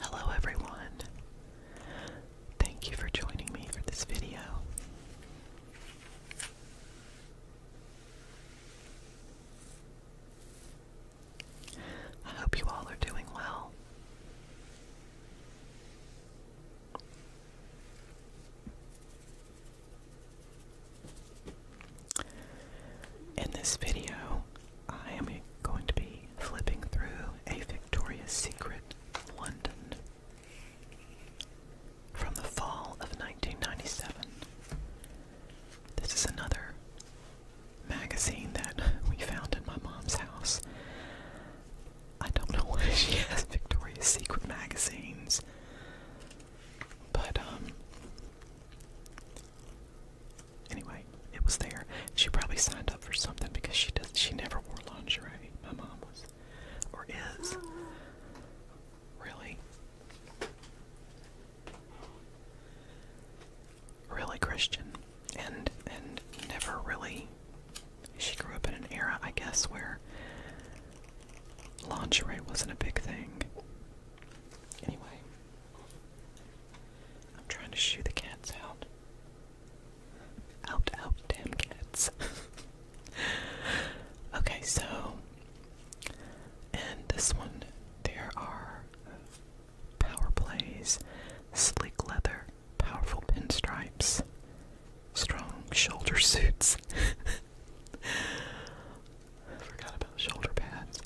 Hello everyone. Thank you for joining me for this video. I hope you all are doing well. In this video, I am going to be flipping through a Victoria's Secret London from the fall of 1997. This is another magazine that we found in my mom's house. I don't know why she has Victoria's Secret magazines, but um, Anyway, it was there. She probably signed up for something because she does. She never wore lingerie. My mom was, or is. Really? Really Christian, and and never really. She grew up in an era, I guess, where lingerie wasn't a big thing. Anyway, I'm trying to shoo the cats out. Out, out, damn cats. okay, so, and this one, there are power plays, sleek leather, powerful pinstripes, strong shoulder suits. Forgot about shoulder pads.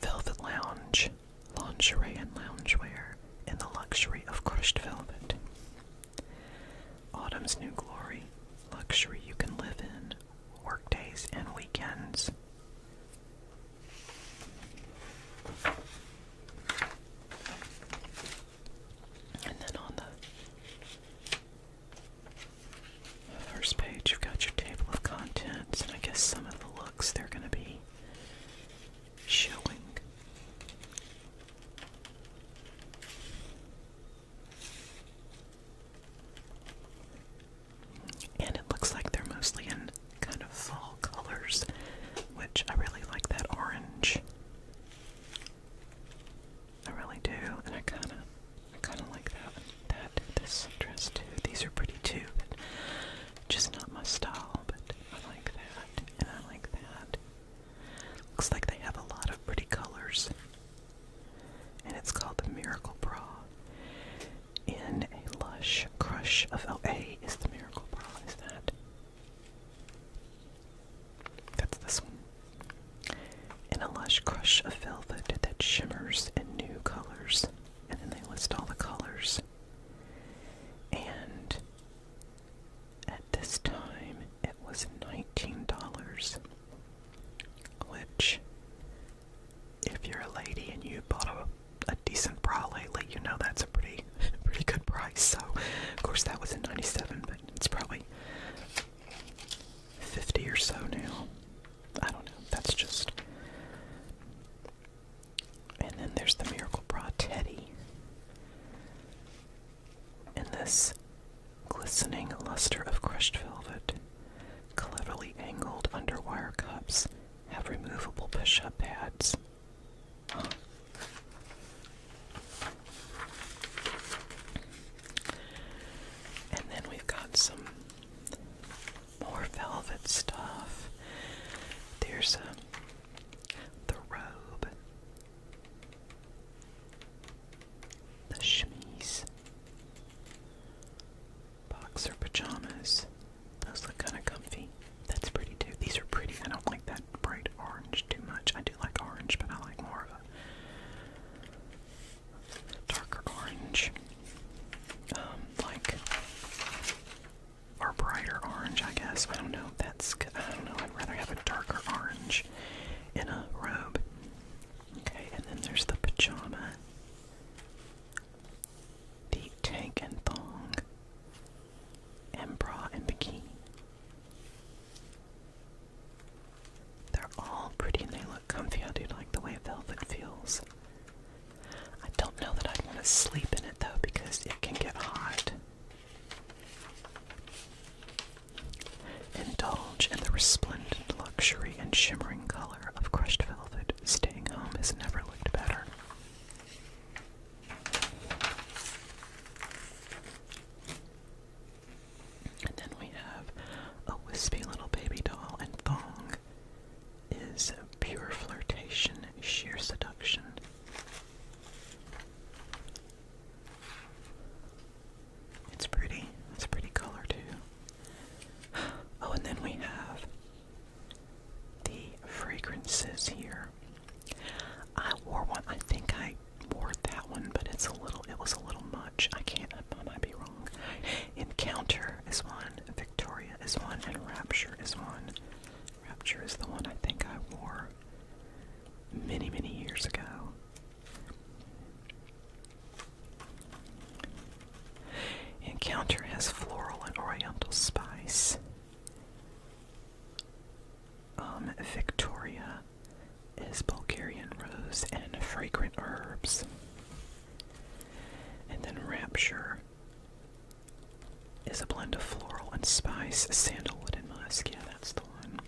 Velvet lounge, lingerie and loungewear in the luxury of crushed velvet. Autumn's new glory, luxury you can live in, workdays and weekends. And then on the First page, you've got your table of contents, and I guess some of the looks they're going to be showing. And it looks like they're mostly in kind of fall colors, which I really like that orange. I really do, and I kind of, I kind of like that this dress to. These are pretty too, but just not my style. But I like that, and I like that. Looks like they have a lot of pretty colors. And it's called the Miracle Bra. In a lush crush of LA is the Miracle Bra, is that? That's this one. In a lush crush of velvet that shimmers in new colors and then they list all the colors. And at this time, it was $19, which, if you're a lady and you bought a, a decent bra lately, you know that's a pretty, pretty good price. So, of course, that was in 97, but it's probably 50 or so now. I don't know. That's just and then there's the Miracle Bra Teddy. In this glistening luster of crushed velvet, cleverly angled underwire cups have removable push up pads. And then we've got some more velvet stuff. There's um, the robe, the chemise, boxer pajamas. Those look kind of comfy. That's pretty too. These are pretty. I don't like that bright orange too much. I do like orange, but I like more of a darker orange. Um, like or brighter orange, I guess. I don't know. That's I don't know. I'd rather have a darker orange in a robe. Okay, and then there's the pajama, the tank and thong, and bra and bikini. They're all pretty and they look comfy. I do like the way velvet feels. I don't know that I'd want to sleep in it though because it can get hot. Indulge in the resplendent luxury and shimmering color of crushed velvet. Staying home has never looked better. And then we have a wispy little baby doll and thong is pure flirtation, sheer seduction. It's pretty. It's a pretty color, too. Oh, and then we have the fragrances here. I wore one. I think I wore that one, but it's a little. It was a little much. I can't. I might be wrong. Encounter is one. Victoria is one, and Rapture is one. Rapture is the one I think I wore many, many years ago. Encounter has floral and oriental spice. Um, Victoria is Bulgarian rose and fragrant herbs. And then Rapture is a blend of floral and spice, sandalwood and musk. Yeah, that's the one.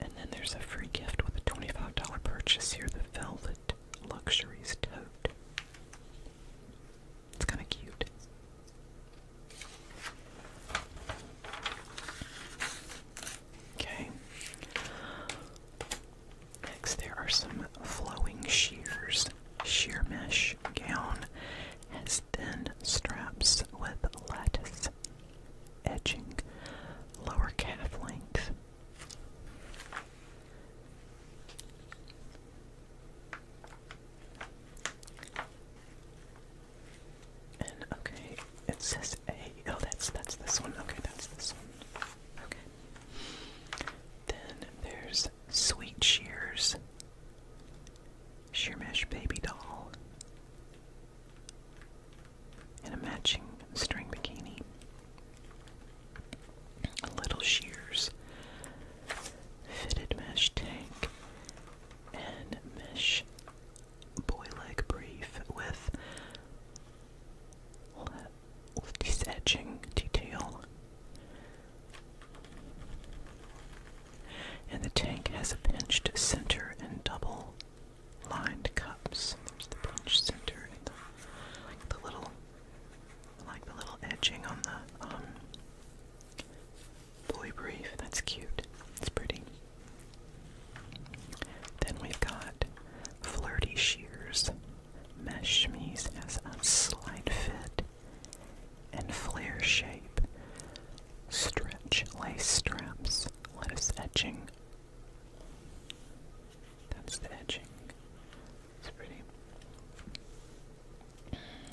and then there's a free gift with a $25 purchase here the Velvet Luxuries Tote. It's kind of cute. Okay. Next, there are some flowing shears. Sheer mesh gown has thin straps with lattice edging, lower calf length. And okay, it says A. Oh, that's that's this one. Okay, that's this one. Okay. Then there's Sweet Shears, Sheermesh Baby Doll, and a matching string bikini. A little shears, fitted mesh tank, and mesh boy brief with with this edging detail. And the tank has a pinched center and double lined cups. There's the pinched center and the, little, like the little edging on the um, brief. That's cute. It's pretty. Then we've got flirty shears. Mesh Me's has a slight fit and flare shape. Stretch lace straps, Let us etching. That's the etching. It's pretty.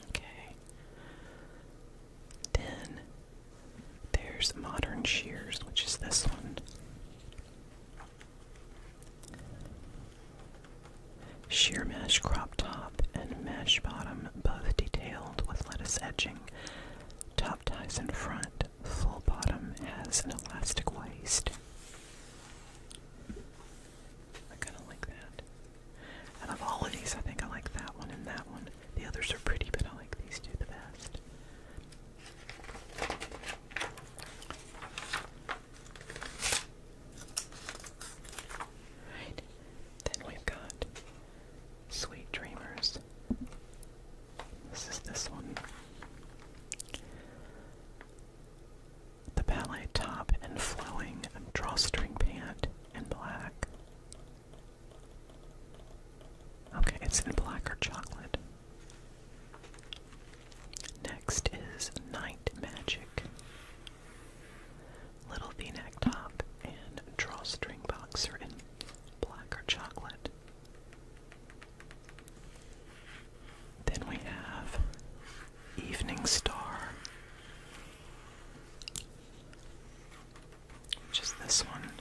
Okay. Then there's modern shears, which is this one. Sheer mesh crop top and mesh bottom, both detailed with lettuce edging. Top ties in front, full bottom has an elastic waist. I kind of like that. Out of all of these, I think I like that one and that one. The others are pretty, but I like these two the best. Then we've got Sweet Dreamers. This is this one. The ballet top and flowing drawstring pant in black. Okay, it's in black or chocolate. Next is Night Magic. Little V-neck top and drawstring boxer in black or chocolate. Then we have Evening Star, which is this one.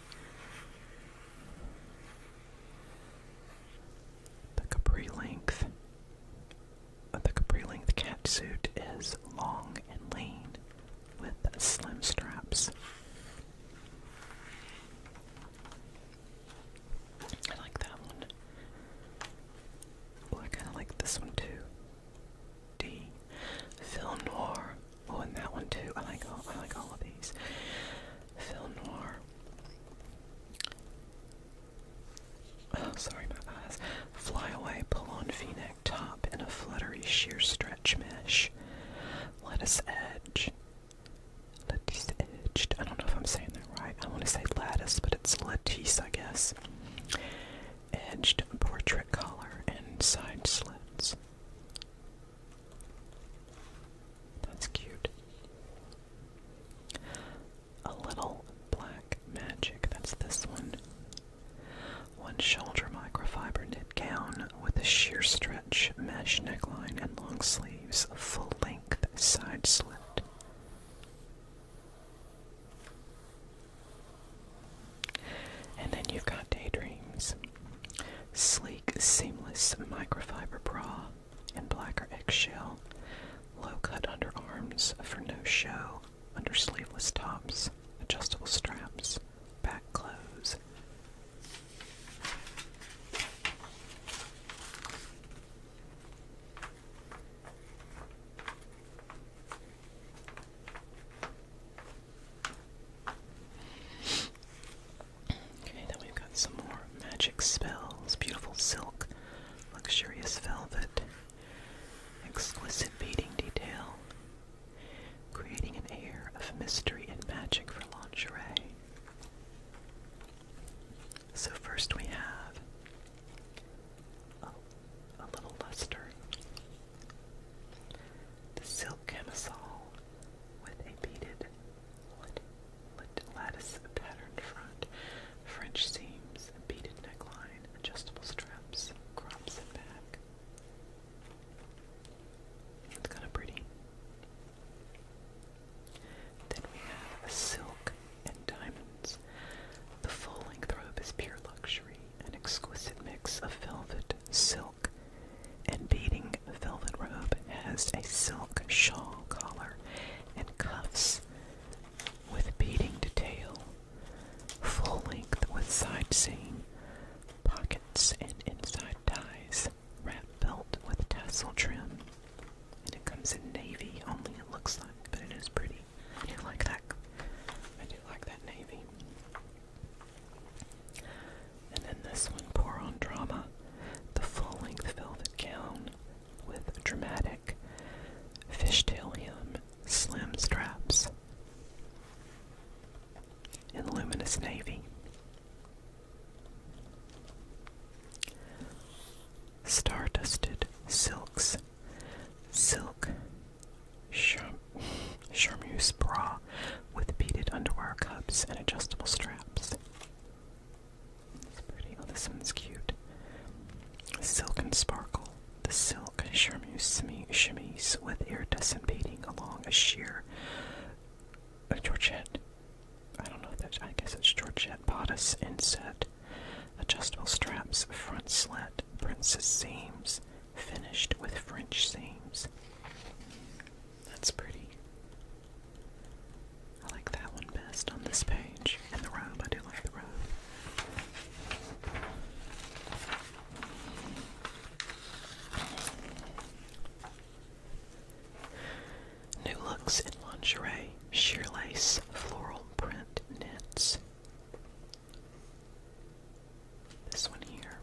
The capri length the capri length catsuit is long and lean with slim straps. I like that one. Oh, I kind of like this one too. D. Film noir. Oh, and that one too. I like all. I like all of these. Film noir. Oh, sorry, my eyes. Flyaway pull-on v-neck top in a fluttery sheer stretch mesh. Lettuce edge. Lattice edged. I don't know if I'm saying that right. I want to say lattice, but it's lattice, I guess. Edged portrait collar and side slits. That's cute a little black magic. That's this one. One shoulder microfiber knit gown with a sheer stretch mesh neckline and long sleeves, full length side slit. And then you've got Daydreams. Sleek, seamless microfiber bra in black or eggshell Low-cut underarms for no show, under sleeveless tops, adjustable straps, back clothes. Okay, then we've got some more magic spells, beautiful silk, luxurious velvet, Exquisite beading detail, creating an air of mystery and magic for lingerie. So, first we have a, little luster. The silk camisole with a beaded lattice patterned front French seams, a beaded neckline, adjustable straps, crops and back. It's kind of pretty. Then we have a silk and diamonds. The full-length robe is pure luxury, an exquisite mix of velvet, silk, and beading. Velvet robe has a silk shawl collar and cuffs with beading detail, full length with side seam, pockets and inside ties, wrap belt with tassel trim. And it comes in navy only it looks like, but it is pretty. I do like that. I do like that navy. And then this one, pour on drama, the full length velvet gown, with dramatic fishtail hem slim straps in luminous navy. Star dusted silks, silk charmeuse bra with beaded underwear cups and adjustable straps. pretty. Oh, this one's cute. Silken sparkle the silk chemise with iridescent beading along a sheer a Georgette. I don't know if that's, I guess it's Georgette bodice inset. Adjustable straps, front slit, princess seams, finished with French seams. That's pretty. I like that one best on this page. And the robe, I do like the robe. New looks in lingerie, sheer lace, floral print knits. This one here.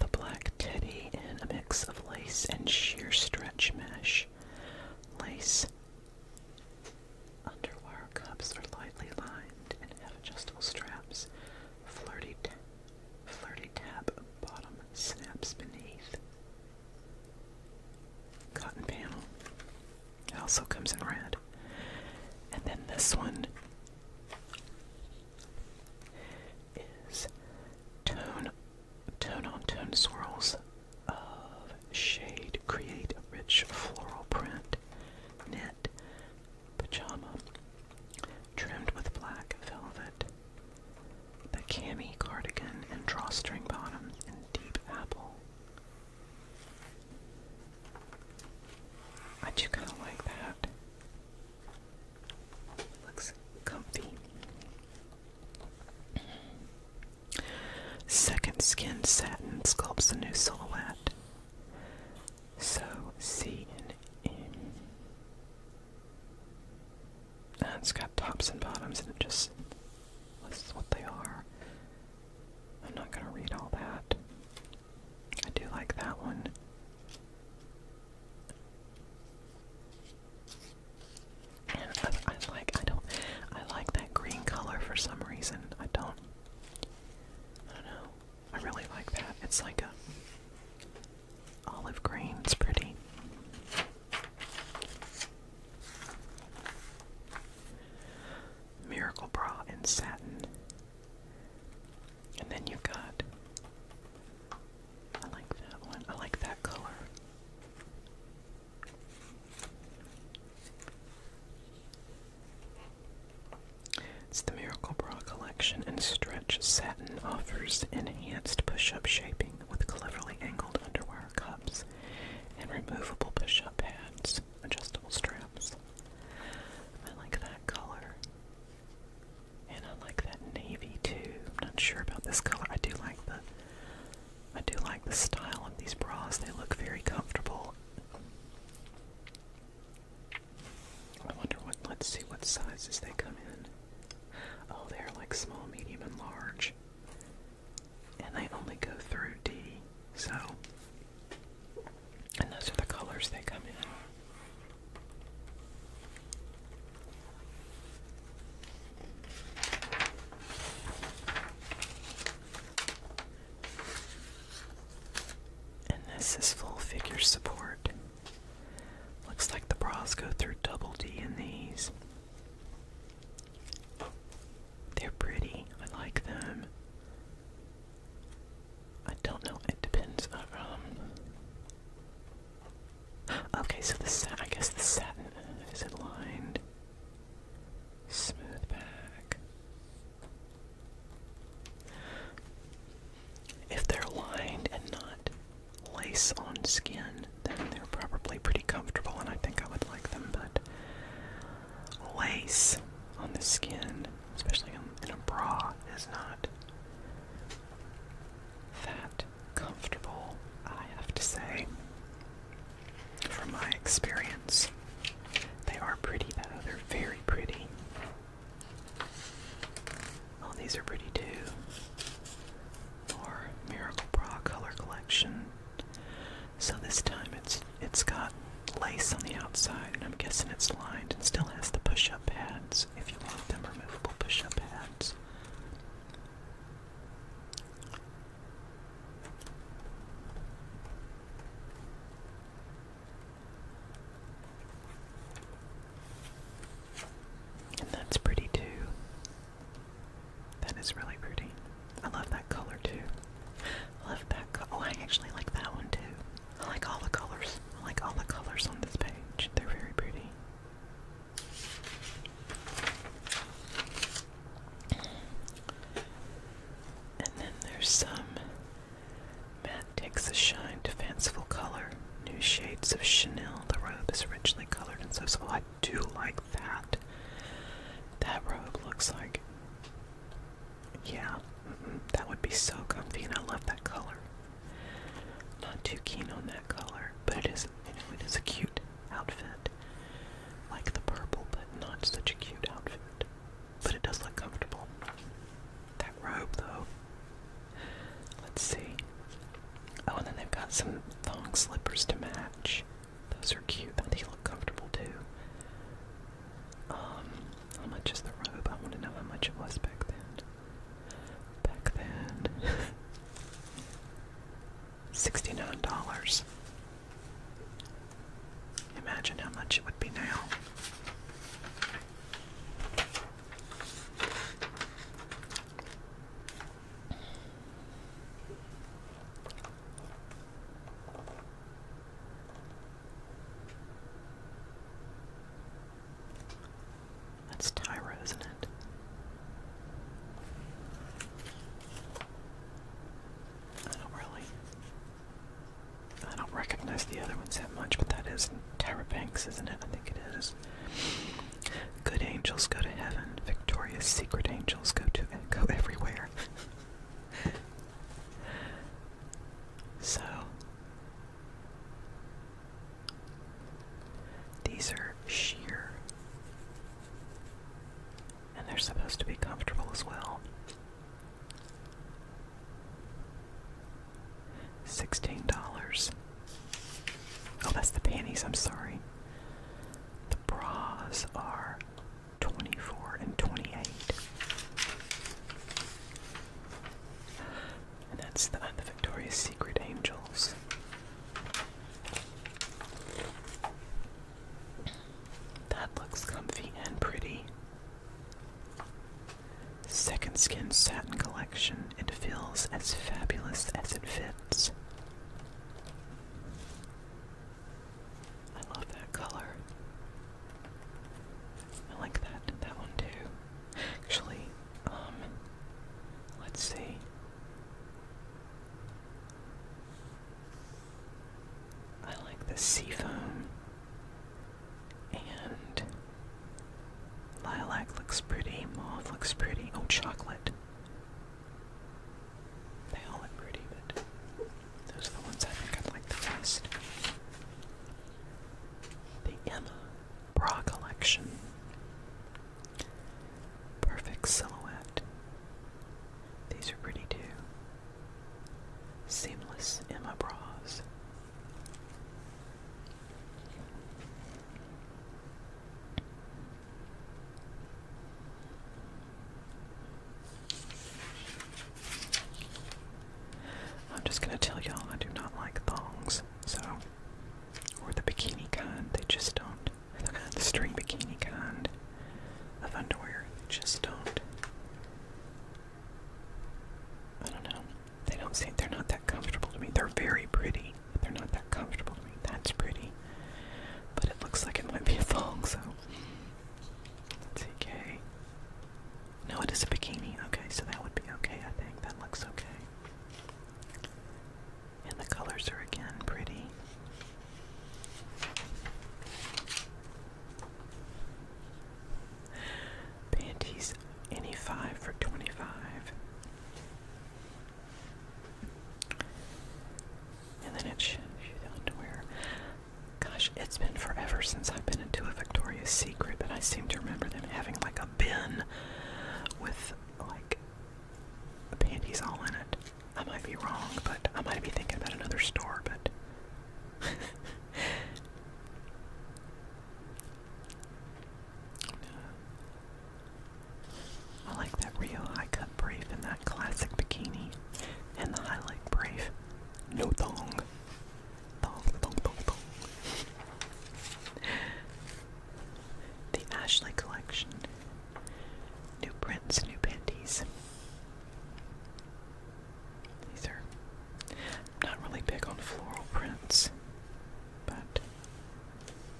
The black teddy in a mix of lace and sheer stretch mesh lace. Underwire cups are lightly lined and have adjustable straps. Flirty, flirty tab bottom snaps beneath. Cotton panel. It also comes in red. And then this one is tone, tone on tone swirls of shade. Create a rich floral print. Knit. Pajama. Trimmed with black velvet. The cami cardigan and drawstring bottoms in deep apple. I do kind of like that. Looks comfy. Second skin satin sculpts a new silhouette. So C and M. And it's got tops and bottoms, and it just this is what they are. I'm not going to read all that. I do like that one. I, I like I don't I like that green color for some reason. I don't I don't know. I really like that. It's like a olive green. It's pretty. Miracle bra in satin. And then you've got I like that one. I like that color. It's the Miracle Bra collection, and Stretch Satin offers enhanced push up shaping with cleverly angled underwear cups and removable push up pads, adjustable straps. I like that color. And I like that navy too. I'm not sure about this color. I do like the I do like the style of these bras, they look very comfortable. I wonder what, let's see what sizes they come in. Oh, they're like small, medium, and large. And they only go through D, so. And those are the colors they come in. And this is full figure support. Looks like the bras go through double D in these. They're pretty. I like them. I don't know. It depends. on. Uh, um, okay, so the I guess the satin is it lined. Smooth back. If they're lined and not lace on skin, then they're probably pretty comfortable, and I think I would like them. But lace on the skin, especially in a bra, is not that comfortable, I have to say. From my experience, they are pretty though, they're very pretty. Oh, these are pretty too. Or Miracle Bra Color Collection. So this time it's it's got lace on the outside, and I'm guessing it's lined and still has the push-up pads if you want them removable push-up pads. And that's pretty too. That is really pretty. I love that color too. I love that co oh I actually like that one too. I like all the colors. I like all the colors on this page. They're very pretty. And then there's some Matt takes a shine to fanciful color. New shades of Chanel. The robe is originally colored and so I do like that. That robe looks like yeah, that would be so comfy and I love that color. Not too keen on that color, but it is you know, it is a cute outfit. Like the purple, but not such a cute outfit. But it does look comfortable. That robe, though. Let's see. Oh, and then they've got some thong slippers to match. Those are cute. They look comfortable, too. Um, how much is the robe? I want to know how much it was back then. Back then. $69. Imagine how much it would be now. That's Tyra, isn't it? I don't really. I don't recognize the other ones that much, but that is Tyra isn't it? I think it is. Good angels go to heaven. Victoria's secret angels go to go everywhere. so these are sheer and they're supposed to be comfortable as well. Sixteen dollars. Oh, that's the panties, I'm sorry. The bras are 24 and 28. And that's the, uh, the Victoria's Secret Angels. That looks comfy and pretty. Second Skin Satin Collection. It feels as fabulous as it fits. I love that color. I like that that one too. Actually, um let's see. I like the sea foam And lilac looks pretty, mauve looks pretty. Oh, chocolate. They all look pretty, but those are the ones I think I would like the best. The Emma Bra Collection. Perfect silhouette. These are pretty too. Seamless in my bras. I'm just gonna tell y'all I do not like thongs, so or the bikini kind, they just don't the, string bikini kind of underwear. They just don't. I don't know. They don't seem. They're not that comfortable to me. They're very pretty. But they're not that comfortable to me. That's pretty. But it looks like it might be a thong, so. let okay. No, it is a bikini. Okay, so that would be okay, I think. That looks okay. And the colors are again pretty. Panties any five for twenty five. And then it's underwear. Gosh, it's been forever since I've been into a Victoria's Secret, but I seem to remember them having like a bin with like the panties all in it. I might be wrong, but I might be thinking about another store, but I like that real high cut brief and that classic bikini and the highlight brief. No thong. Thong, thong, thong, thong. The Ashley collection. New prints, new panties. These are not really big on floral prints, but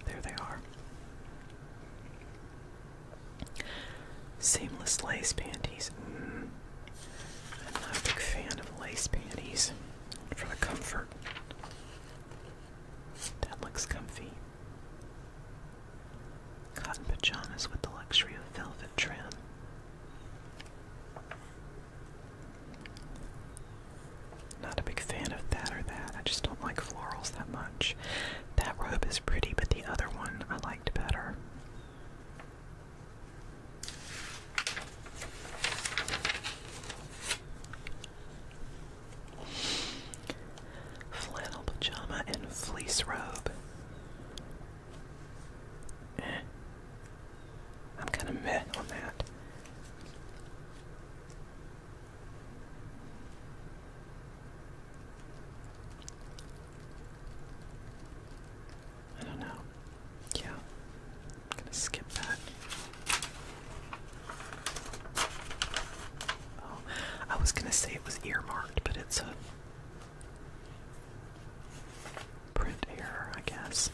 there they are. Seamless lace panties. Mm. I'm not a big fan of lace panties for the comfort. That looks comfy. Cotton pajamas with the luxury of velvet trim. Not a big fan of that or that. I just don't like florals that much. That robe is pretty, but the other one I liked better. Flannel pajama and fleece robe. I'm kind of meh on that. I don't know. Yeah. I'm gonna skip that. Oh, I was gonna say it was earmarked, but it's a Print error, I guess.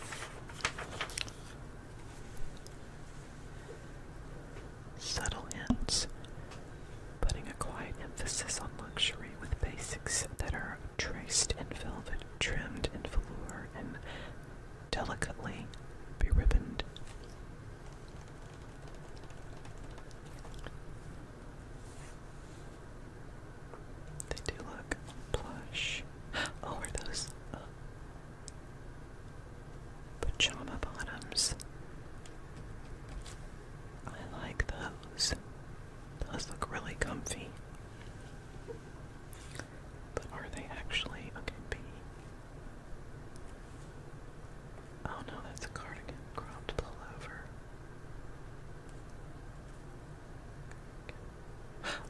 Subtle hints, putting a quiet emphasis on luxury with basics that are traced in velvet, trimmed in velour, and delicately beribboned. They do look plush. Oh, are those uh, pajama bottoms? I like those. Those look really comfy. But are they actually okay? B. Oh no, that's a cardigan cropped pullover.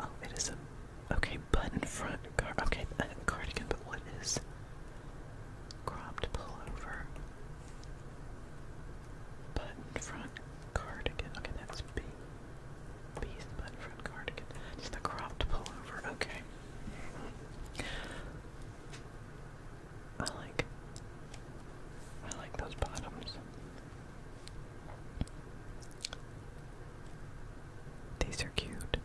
Oh, it is a okay button front car. Okay, uh, cardigan. But what is cropped pullover? Button front cardigan. Okay, that's B. B's button front cardigan. Just a cropped pullover. Okay. I like I like those bottoms. These are cute.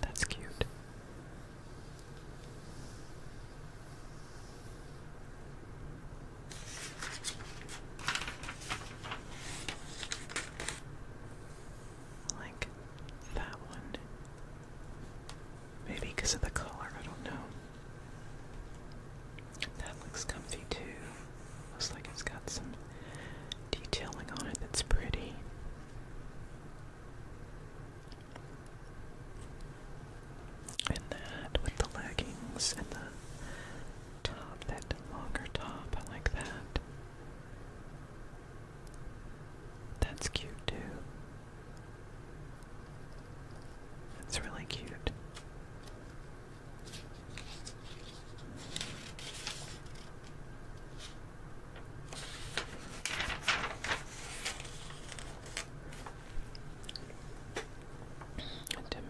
That's cute. like that one. Maybe because of the color, I don't know. That looks comfy too. Looks like it's got some detailing on it that's pretty. And that with the leggings and the top, that longer top, I like that. That's cute too. That's really cute. Dim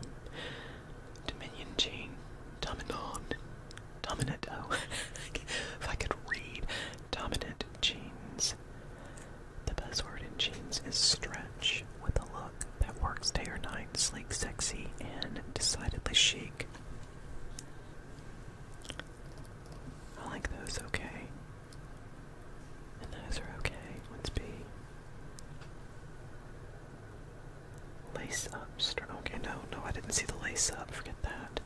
Dominion Gene, Dominant, oh, if I could read, Dominant Genes jeans. The buzzword in jeans is stretch, with a look that works day or night, sleek, sexy, and decidedly chic. I like those okay. And those are okay. Let's be lace up. Okay, no, no, I didn't see the lace up. Forget that.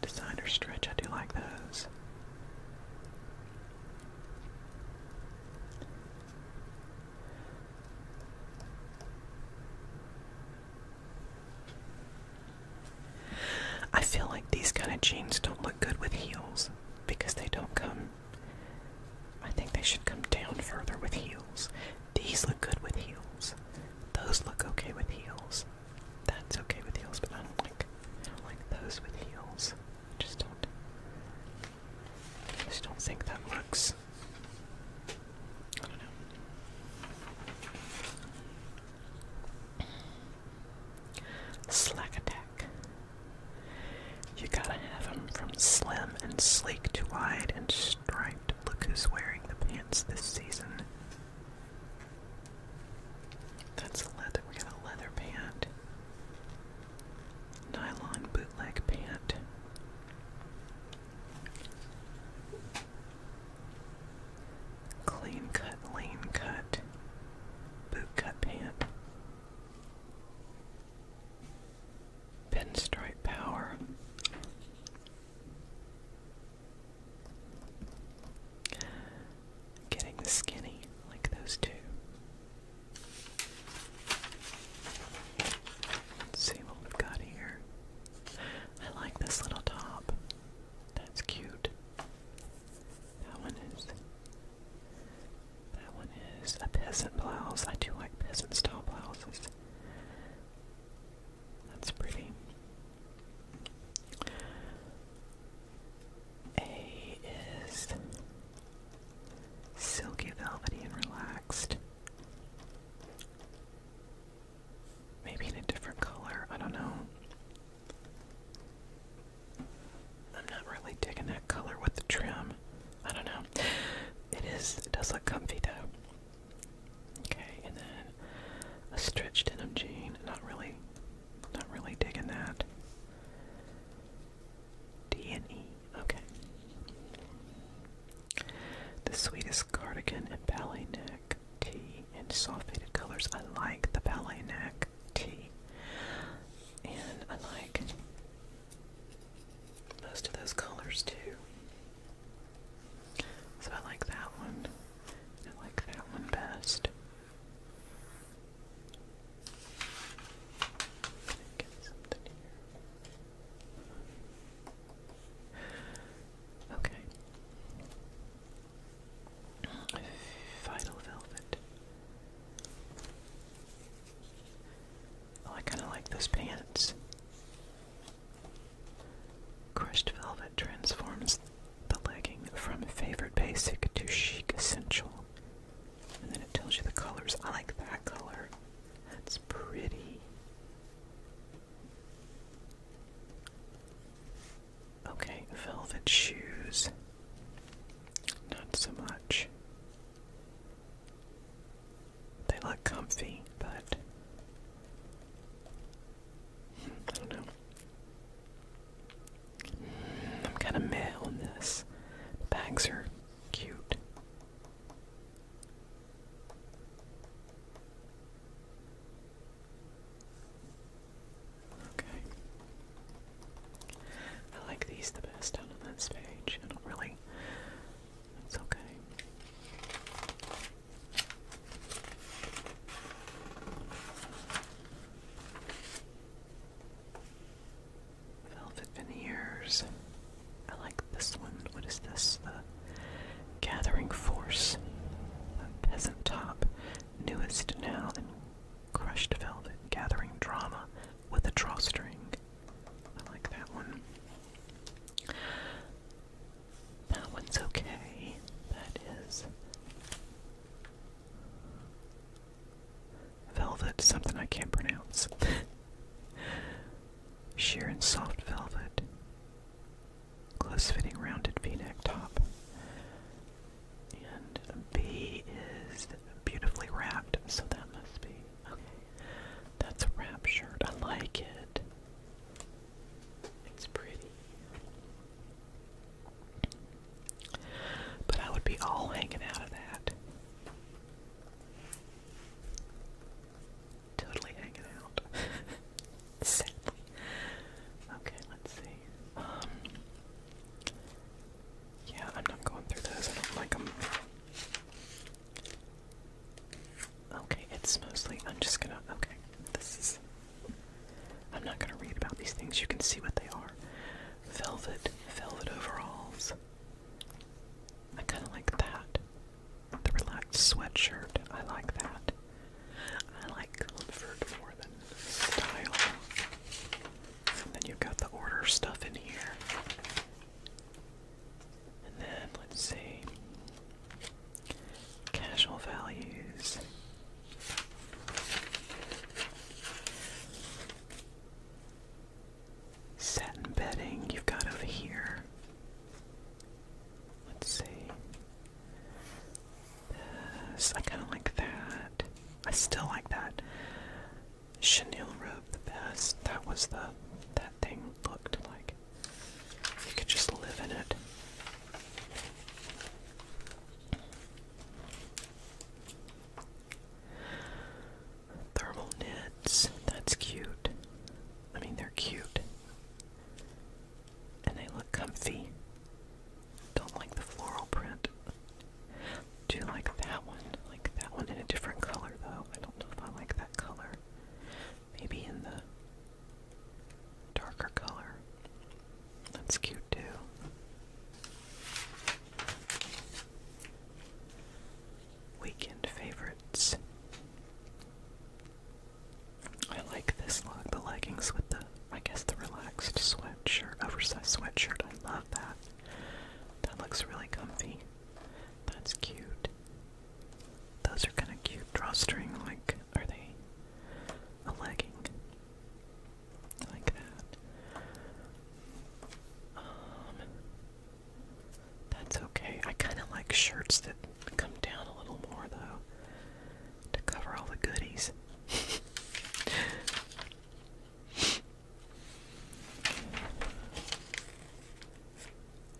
Designer stretch. I do like those. I feel like these kind of jeans don't look good with heels because they don't come. I think they should come down further with heels. These look good with heels. Those look okay with heels. That's okay with heels, but I don't like I don't like those with heels. I just don't. just don't think that works. Slack attack. You gotta have from slim and sleek to wide and striped. Look who's wearing the pants this season. That's a leather. We got a leather pant. Nylon bootleg pant. Clean cut, lean cut, boot cut pant. Pinstripe power getting skinny like those 2 see what we've got here. I like this little top. That's cute. That one is. That one is a peasant blouse. I do like peasant style blouses. That's pretty. A is silky, velvety, and relaxed. Maybe in a different color, I don't know. I'm not really digging that color with the trim. I don't know. It is, it does look comfy though. Okay, and then a stretched denim jean. Not really not really digging that. D and E. Okay. The sweetest cardigan and ballet neck T and soft faded colors. I like the ballet neck T, and I like most of those colors too. So I like that one. I like that one best. Okay. Vital velvet. Oh, I kind of like those pants. Crushed velvet transforms the legging from a favorite basic to chic essential. And then it tells you the colors. I like that color. That's pretty. Okay, velvet shoes. Not so much. They look comfy, but hmm, I don't know. I'm kind of meh on this. Bags are cute. Okay. I like these the best out this page. I don't really. It's okay. Velvet veneers. I like this one. What is this? The Gathering Force. peasant top. Newest now crushed velvet. Gathering drama with a drawstring. I like that one. That one's okay. That is Velvet, something I can't pronounce. Sheer and soft velvet. Close fitting rounded v neck top. And B is beautifully wrapped, so that must be. Okay. That's a wrap shirt. I like it. It's pretty. But I would be all hanging out of that. Totally hanging out. Sadly. Okay, let's see. Um, yeah, I'm not going through those. I don't like them. Okay, it's mostly. I'm just gonna. Okay, this is. I'm not gonna read about these things. You can see what they are velvet, velvet overalls. I kind of like that. The relaxed sweatshirt, I like that. I like comfort more than style. And then you've got the order stuff in here. And then, let's see. Casual values. Satin bedding you've got over here. Let's see. This, I kind of like that. I still like that. Chenille robe the best. That was the, that thing looked like. You could just live in it. Thermal knits, that's cute. I mean, they're cute. And they look comfy. Don't like the floral print. Do you like that one? Like that one in a different color, though. I don't know if I like that color. Maybe in the darker color. That's cute, too. Weekend favorites. I like this look, the leggings with the, I guess, the relaxed sweatshirt, oversized sweatshirt. I love that. That looks really comfy. That's cute. Those are kind of cute. Drawstring, like, are they a legging? like that. Um, that's okay. I kind of like shirts that come down a little more though, to cover all the goodies.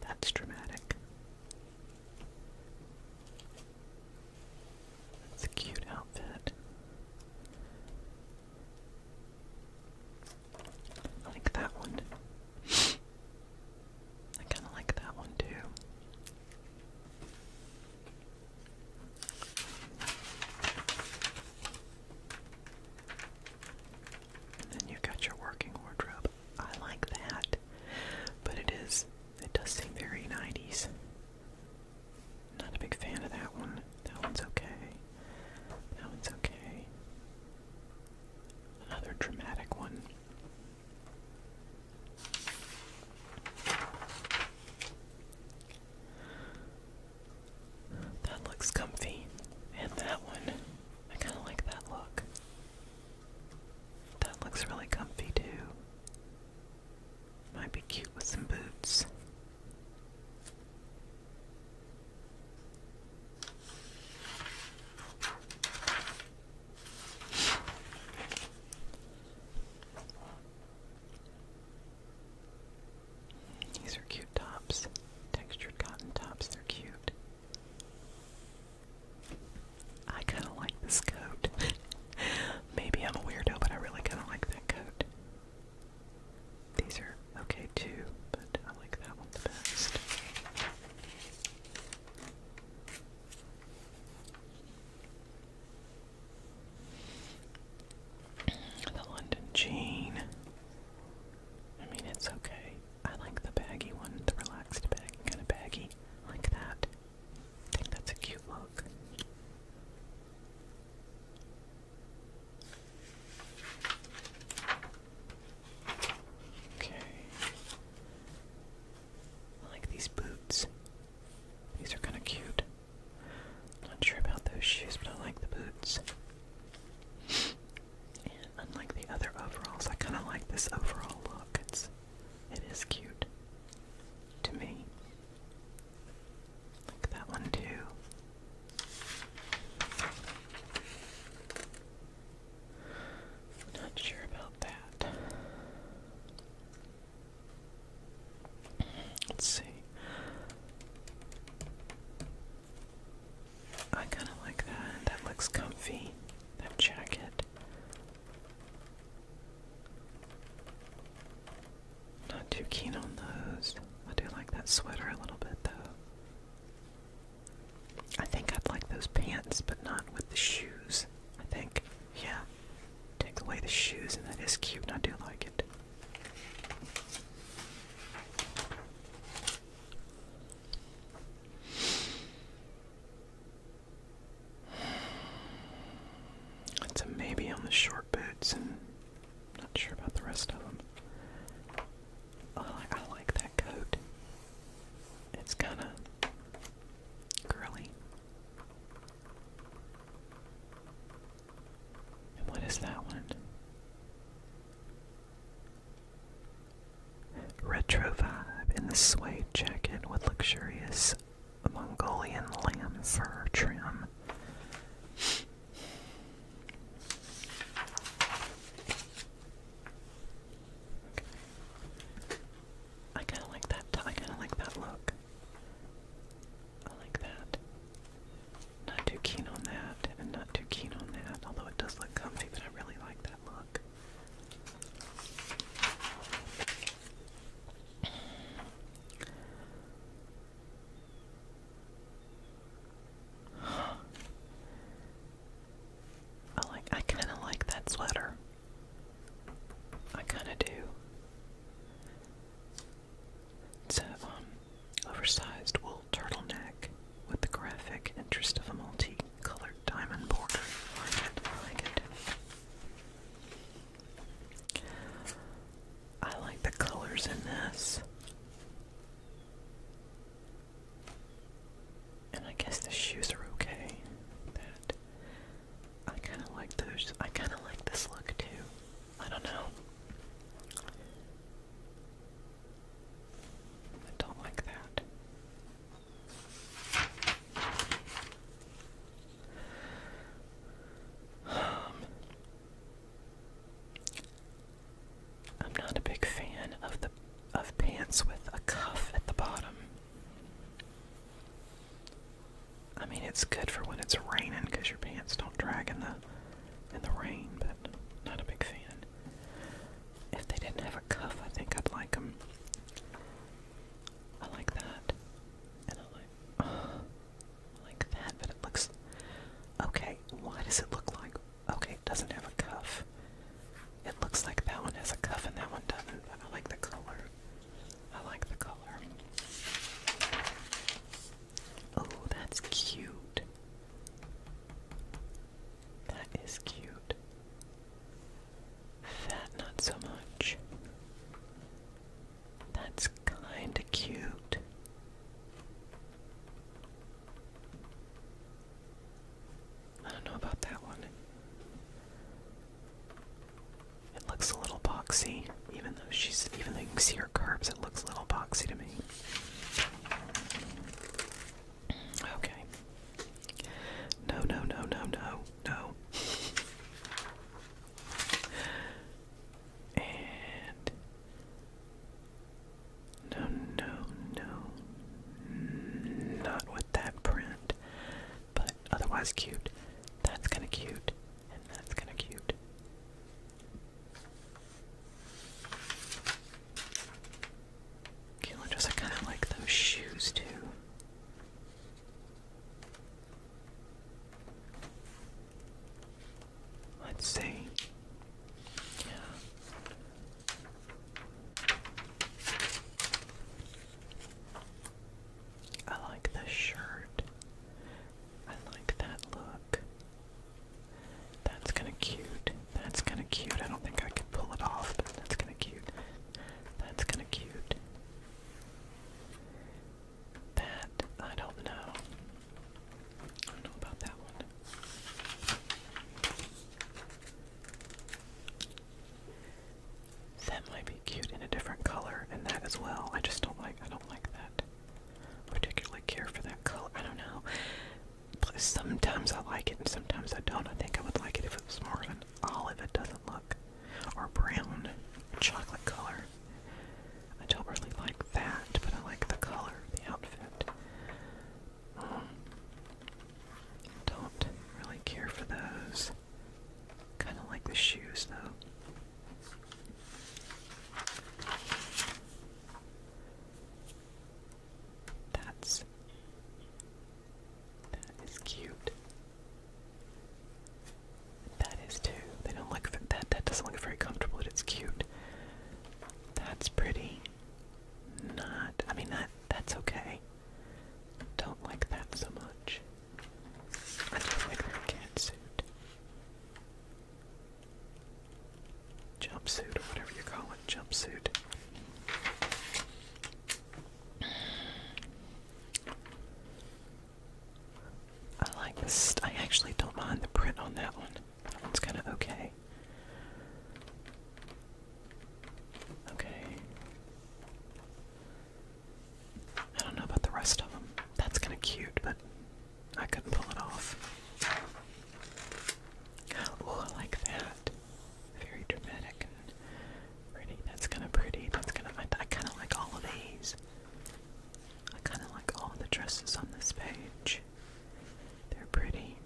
That's dramatic. That's a cute outfit. I like that one. I kind of like that one too. And then you got your working wardrobe. I like that, but it is, it does seem very 90s. Not a big fan of that one. That one's okay. That one's okay. Another dramatic one. That looks comfy. And that one. I kind of like that look. That looks really comfy too. Might be cute with some boots. These are cute tops, textured cotton tops, they're cute. I kind of like this coat. Maybe I'm a weirdo, but I really kind of like that coat. These are okay too, but I like that one the best. The London Jean. I mean, it's okay. I like the baggy one, the relaxed baggy, kind of baggy. like that. I think that's a cute look. Okay. I like these boots. These are kind of cute. Not sure about those shoes, but I like the boots. and unlike the other overalls, I kind of like this overall look. It's, it is cute to me that one too. Not sure about that. Let's see. I kind of like that. That looks comfy. That jacket. Not too keen on those. I do like that sweater a little bit though. I think I'd like those pants, but not with the shoes. I think, yeah, take away the shoes, and that is cute, and I do like it. It's a maybe on the short boots and not sure about the rest of them. Oh, I, like that coat. It's kind of curly. And what is that one? Retro vibe in the suede jacket with luxurious Mongolian lamb fur trim. I kind of like that. I kind of like that look. I like that. Not too keen on that, and not too keen on that. Although it does look comfy, but I really like that look. I like I kinda like that sweater. I kinda do. It's a um, oversized wool turtleneck with the graphic interest of a multi-colored diamond border. I like it. I like the colors in this. And I guess the shoes are okay. I kind of like those. I kind of like this look too. I don't know. I don't like that. Um, I'm not a big fan of the of pants with a cuff at the bottom. I mean, it's good for when it's raining because your pants don't drag in the in the rain, but not a big fan. If they didn't have a cuff, I think I'd like them. I like that, I like that, but it looks okay. Why does it look like Okay, it doesn't have a cuff. It looks like that one has a cuff and that one doesn't, I like the color. I like the color. Oh, that's cute. That is cute. That, not so much. That's kinda cute. I don't know about that one. It looks a little boxy, even though she's even though you can see her curves, it looks a little boxy to me. Okay. No, no, no, no, no, no. And no, no, no. Not with that print. But otherwise cute. That's kind of cute. And that's kind of cute. Keelan I kind of like those shoes too. Let's see. I like the shirt. I like that look. That's kind of cute. That's kind of cute. I don't think I could pull it off, but that's kind of cute. That's kind of cute. That, I don't know. I don't know about that one. That might be cute in a different color, and that as well. I just don't like. I don't like that. I particularly care for that color. I don't know. But sometimes I like it, and sometimes I don't. I think I would like it if it was more of an olive. It doesn't look, or brown, chocolate color. I don't really like that, but I like the color, of the outfit. Um, don't really care for those. Kind of like the shoes, though. That's that is cute. That is too. They don't look that. That doesn't look very comfortable, but it's cute. That's pretty not. I mean, that that's okay. Don't like that so much. I don't like her catsuit. Jumpsuit, or whatever you call it, jumpsuit. I like this. I actually don't mind the print on that one. It's kind of okay. Okay. I don't know about the rest of them. That's kind of cute, but I couldn't pull it off. Oh, I like that. Very dramatic and pretty. That's kind of pretty. That's kind of. I kind of like all of these. I kind of like all the dresses on this page. They're pretty.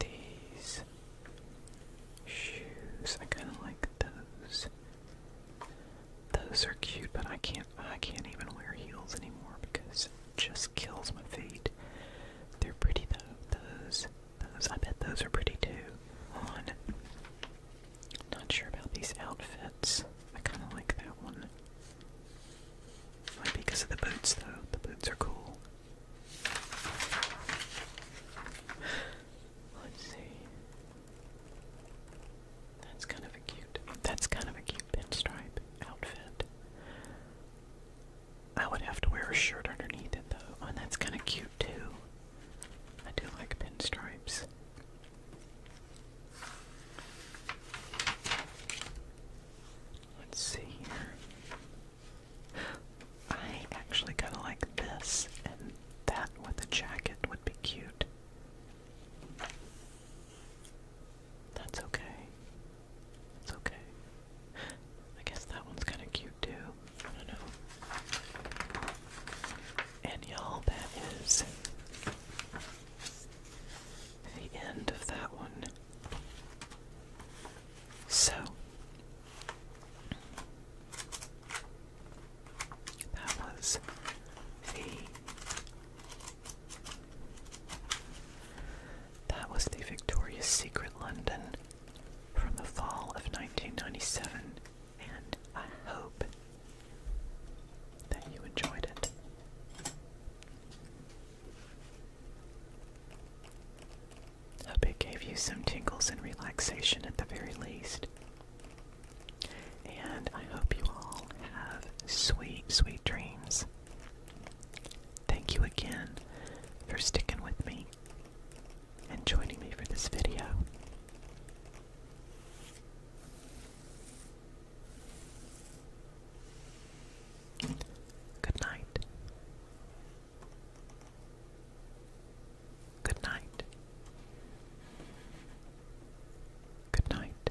These shoes, I kind of like those. Those are cute, but I can't. I can't even wear heels anymore because it just kills my feet. They're pretty though. Those. Those, I bet those are pretty too. On. Not sure about these outfits. I kind of like that one. Might be because of the boots though. The boots are cool. Let's see. That's kind of a cute. That's kind of a cute pinstripe outfit. I would have to wear a shirt underneath it though, and oh, that's kind of cute pinstripe I do like pinstripes. Let's see here. I actually kind of like this, and that with a jacket would be cute. That's okay. It's okay. I guess that one's kind of cute too. And y'all, that is the end of that one. So, that was the. That was the Victoria's Secret London from the fall of 1997 and I hope that you enjoyed it. Hope it gave you some tingles and relaxation at the very least. And I hope you all have sweet, sweet dreams. Thank you again for sticking with me and joining me for this video. Good night. Good night. Good night.